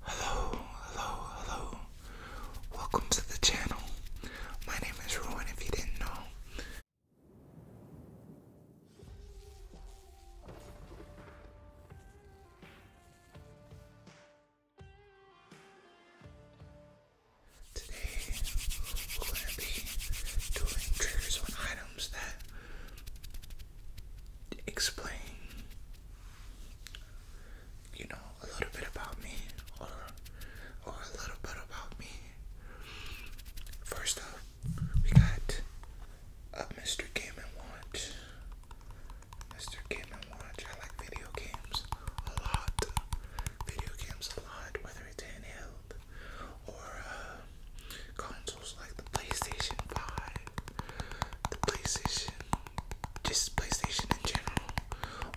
Hello, hello, hello. Welcome to the channel. My name is Rowan if you didn't know. Today, we're going to be doing triggers on items that explain, you know, a little bit about me or or a little bit about me. First up, we got uh, Mr. Game and Watch. Mr. Game and Watch. I like video games a lot. Video games a lot, whether it's handheld or uh, consoles like the PlayStation 5, the PlayStation, just PlayStation in general,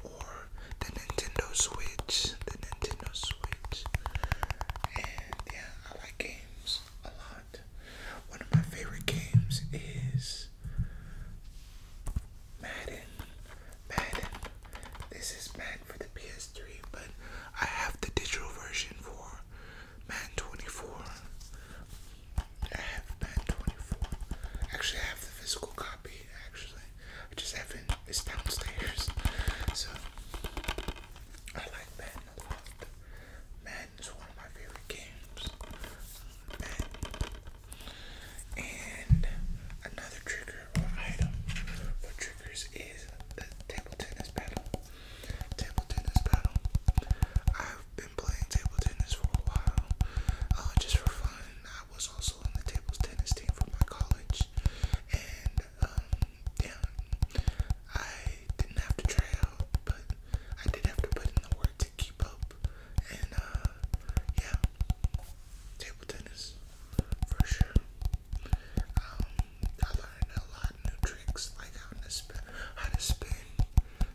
or the Nintendo Switch, the Nintendo Switch. And yeah, I like games a lot. One of my favorite games is Madden. Madden. This is Madden for the PS but I have the digital version for Man 24. I have Man 24. Actually, I have the physical copy, actually. I just haven't, it's downstairs. So, I like Man a is one of my favorite games. And another trigger or item. What triggers is the table tennis paddle. Table tennis paddle. I've been playing table tennis for a while, uh, just for fun. I was also on the table tennis team for my college, and yeah, um, I didn't have to try out, but I did have to put in the work to keep up, and uh, yeah, table tennis for sure. Um, I learned a lot new tricks, like how to spin, how to spin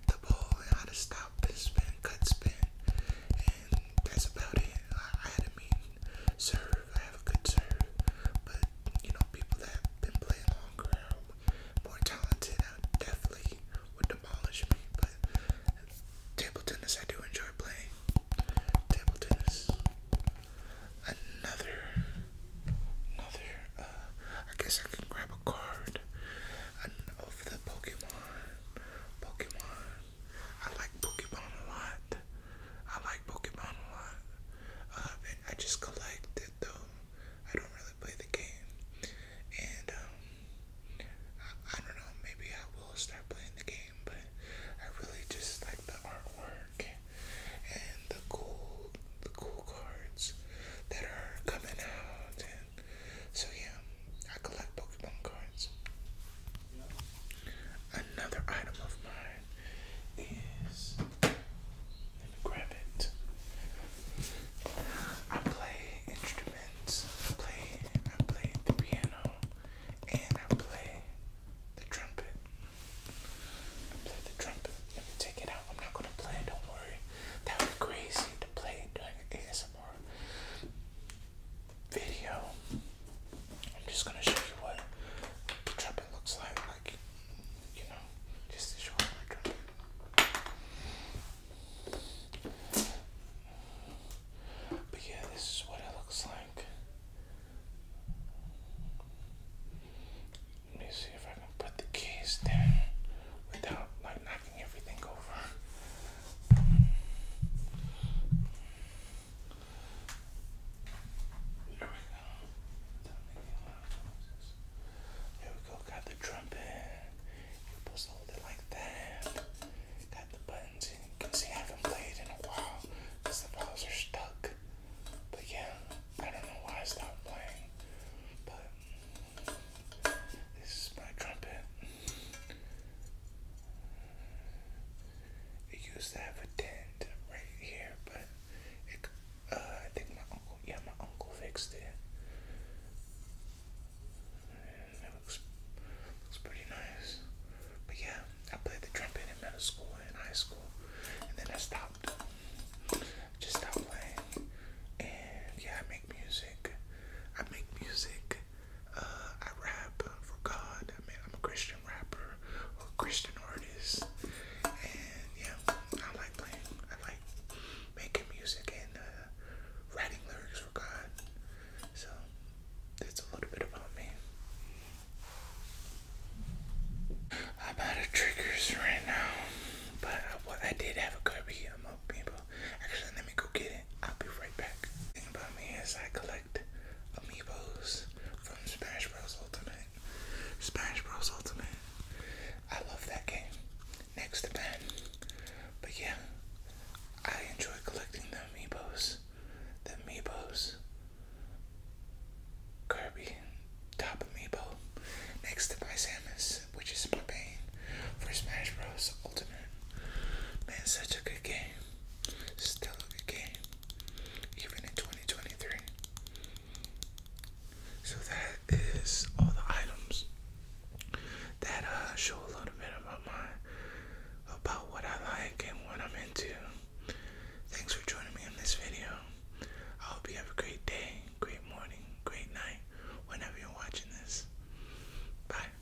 the ball, and how to stop and spin, cut spin, and that's about it. I, mean serve. I have a good serve, but you know, people that been playing longer, more talented, definitely would demolish me. But table tennis, I do enjoy playing table tennis. Another, another. Uh, I guess I can grab a card of the Pokemon. Pokemon. I like Pokemon a lot. I like Pokemon a lot. Uh, and I just collect it though. I don't really play the game. And um, I, don't know, maybe I will start playing the game, but I really just like the artwork and the cool the cool cards that are coming out and so yeah, I collect Pokemon cards. Another item of mine is let me grab it. I play instruments instruments. I play, I play the piano, and I play the trumpet. I play the trumpet. Let me take it out. I'm not gonna play it. Don't worry. That would be crazy to play during an ASMR video. I'm just gonna show you what the trumpet looks like. Like, you know, just to show you my trumpet. But yeah, this is what it looks like. Let me see if I can put the keys down without like knocking everything over. There we go. Here we go, got the trumpet. you supposed to hold it like that. Got the buttons, and you can see I haven't played in a while because the balls are stuck. But yeah, I don't know why I stopped playing. But this is my trumpet. It used to have a dent right here, but I think my uncle, yeah, my uncle fixed it. looks, pretty nice. But yeah, I played the trumpet in middle school and high school, and then I stopped. Just stopped playing. And yeah, I make music. I make music. Uh, I rap for God. I mean, I'm a Christian rapper or Christian artist. And yeah, I like I like making music and uh, writing lyrics for God. So that's a little bit about me. I'm out of triggers right now, but I, did have a copy of my people. Actually, let me go get it. I'll be right back. thing about me is I collect amiibos from Smash Bros. Ultimate Smash Bros. Ultimate. I love that game. Next to Ben. But yeah, I enjoy collecting the amiibos. The amiibos. Kirby, top amiibo. Next to my Samus, which is my pain for Smash Bros. Ultimate. Man, such a good game. Still a good game even in 2023. So that is all the items that uh, show a little bit about my about what I like and what I'm into. Thanks for joining me in this video. I hope you have a great day, great morning, great night, whenever you're watching this. Bye.